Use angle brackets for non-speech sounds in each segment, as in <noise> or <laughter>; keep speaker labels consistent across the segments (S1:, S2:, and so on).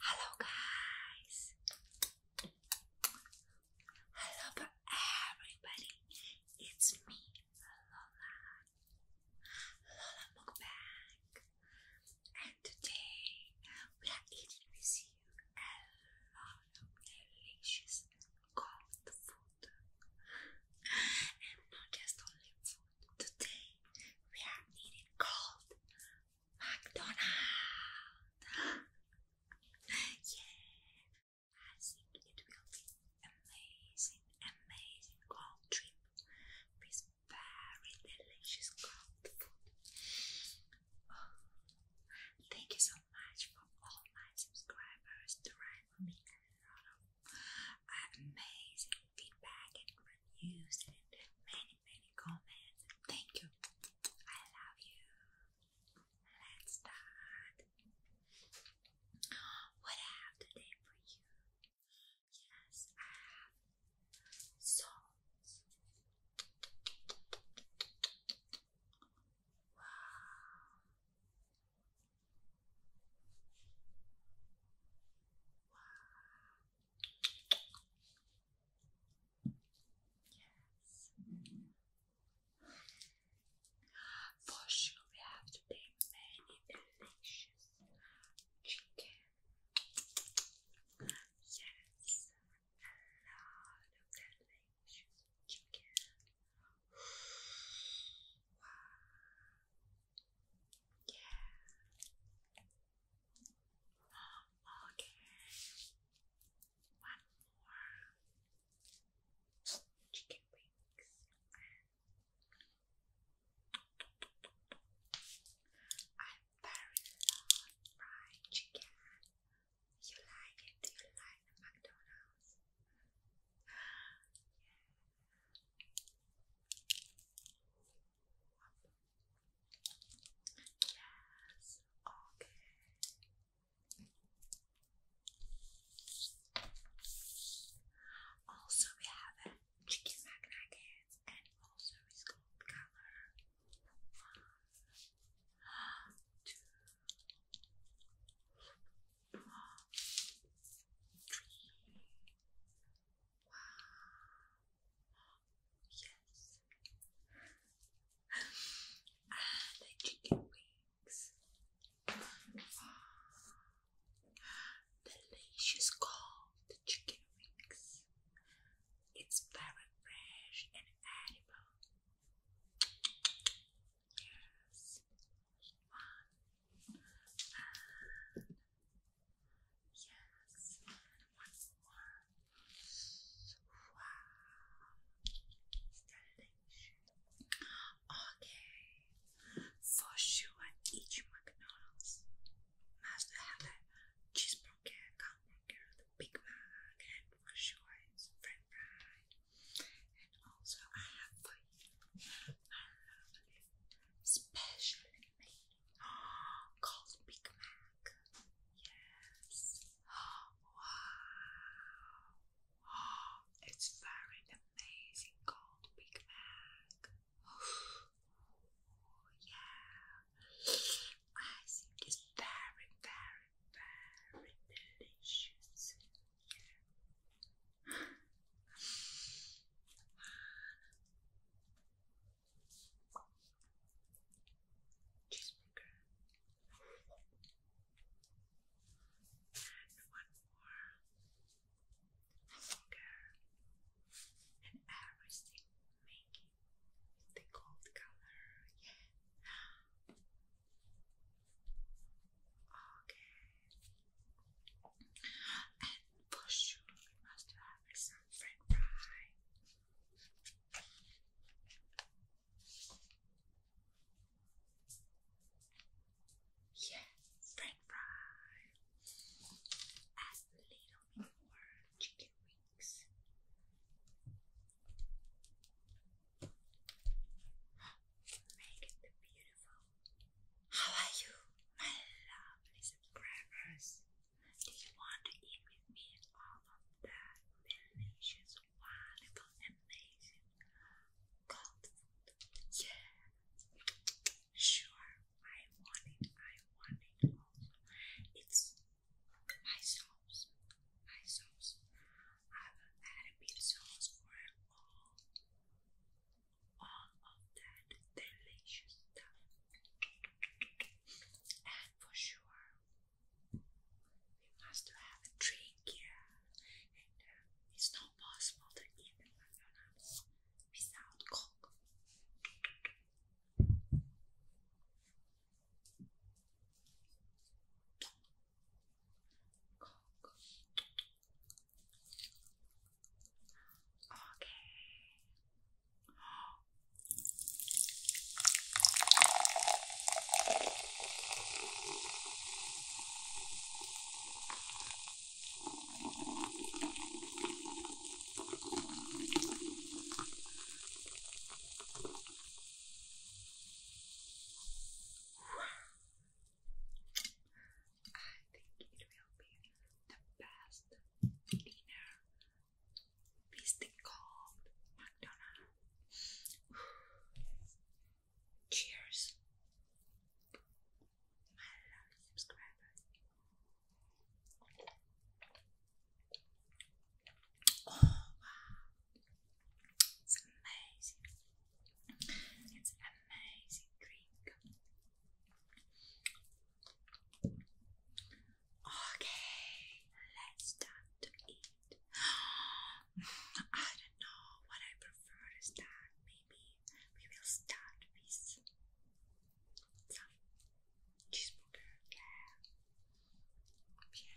S1: Hello, guys. Hello, everybody. It's me, Lola. Lola Mukbang. And today we are eating with you a lot of delicious cold food. And not just only food. Today we are eating cold McDonald's. <gasps> yeah, I think it will be amazing, amazing trip with very delicious food. thank you so much for all my subscribers to amazing feedback and reviews and many, many comments. Thank you. I love you. Let's start. What have today for you? Yes, I have songs. Wow. Wow. Yes. For sure, we have today many delicious chicken. Yes, a lot of delicious chicken. Wow. Yeah. Okay. One more. Chicken wings. I very love fried chicken. You like it? Do you like McDonald's? Yes, okay. Also, we have a chicken McNuggets and also it's gold color. One, two, one, three. Wow yes. Ah, the chicken wings. Delicious cold chicken wings. It's very fresh and edible. Yes. One. Ah. yes. Okay, for sure I eat your McDonald's. Must have a cheeseburger, hamburger, the Big Mac, and for sure it's French fry. And also I have for you, I love this <gasps> called Big Mac. Yes. Wow. <gasps> It's very amazing called Big Mac. <gasps> Oh, yeah. it's very, very, very delicious cheeseburger, and one more finger and everything making the gold color. Yeah. Okay. And for sure we must have some french fry. Yes, french fry. Add little bit more chicken wings. <gasps> Make it beautiful. How are you, my lovely subscribers? Do you want to eat with me all of that delicious, wonderful, amazing cold Yeah. Sure, I want it. I want it also. It's my sauce. My sauce. I will add a sauce for all, all of that delicious stuff. And for sure, we must have a drink Yeah, And uh, it's not possible to eat the McDonald's without Coke. Coke. Okay. I think it will be the best dinner Mystic called McDonald's. <sighs> Cheers. My lovely subscribers. Oh wow. It's amazing. It's amazing drink. Okay, let's start to eat. <gasps> I don't know what I prefer to start. Maybe we will start with some cheeseburger. Yeah.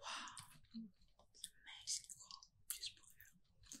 S1: Wow, amazing. just beautiful.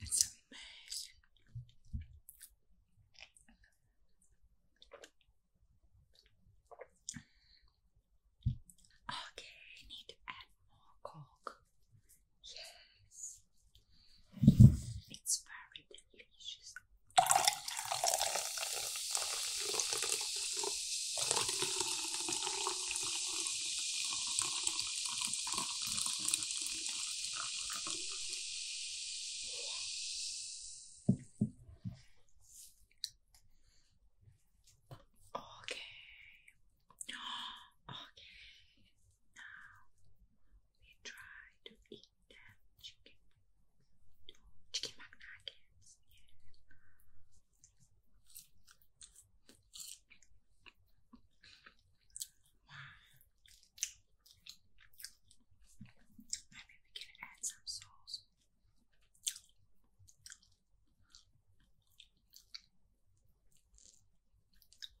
S1: It's amazing. Okay, I need to add more coke. Yes, it's very delicious. Okay. <gasps> Okay. Now we try to eat chicken, chicken McNuggets. Maybe we can add some sauce.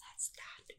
S1: Let's start eating.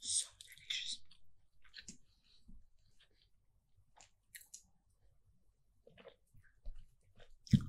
S1: So delicious. potato. Hello.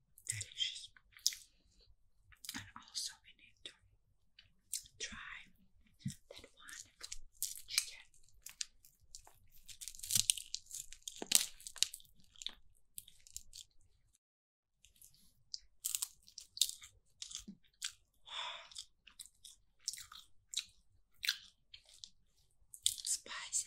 S1: delicious. And also we need to try that wonderful chicken. Spicy.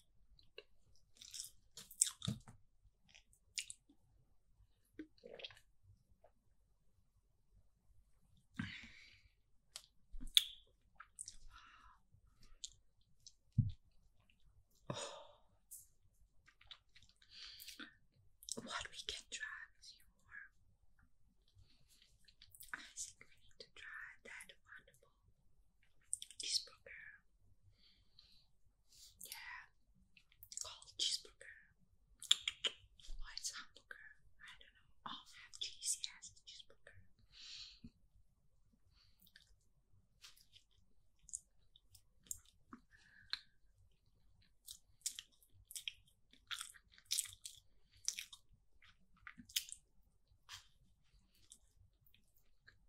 S1: Oh. What we can try with your I think we to try that wonderful cheeseburger. Yeah, cold cheeseburger. Or it's hamburger. I don't know. Oh, have cheese. Yes, cheeseburger.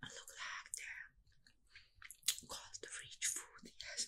S1: Look like that. Called the rich food, yes.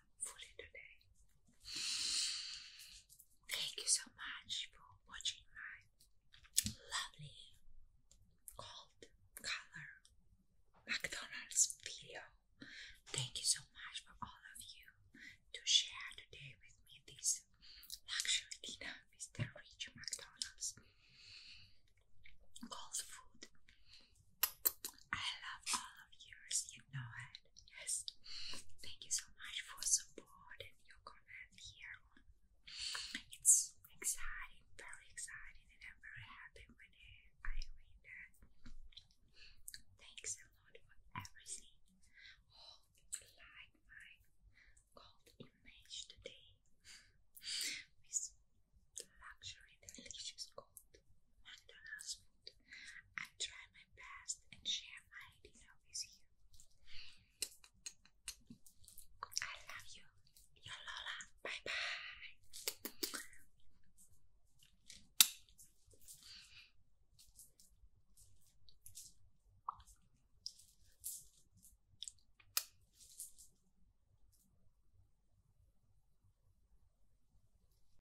S1: fully today. Thank you so much for watching my lovely gold color McDonald's video. Thank you so much for all of you to share today with me this luxury dinner with rich McDonald's gold food. I love all of yours, you know I Yes. Thank you so much for support and your comment here. It's exciting, very exciting, and very happy when I read Thanks a lot for everything. like my cold image today with luxury, delicious cold I try my best and share my idea with you. I love you, your Lola. Bye bye.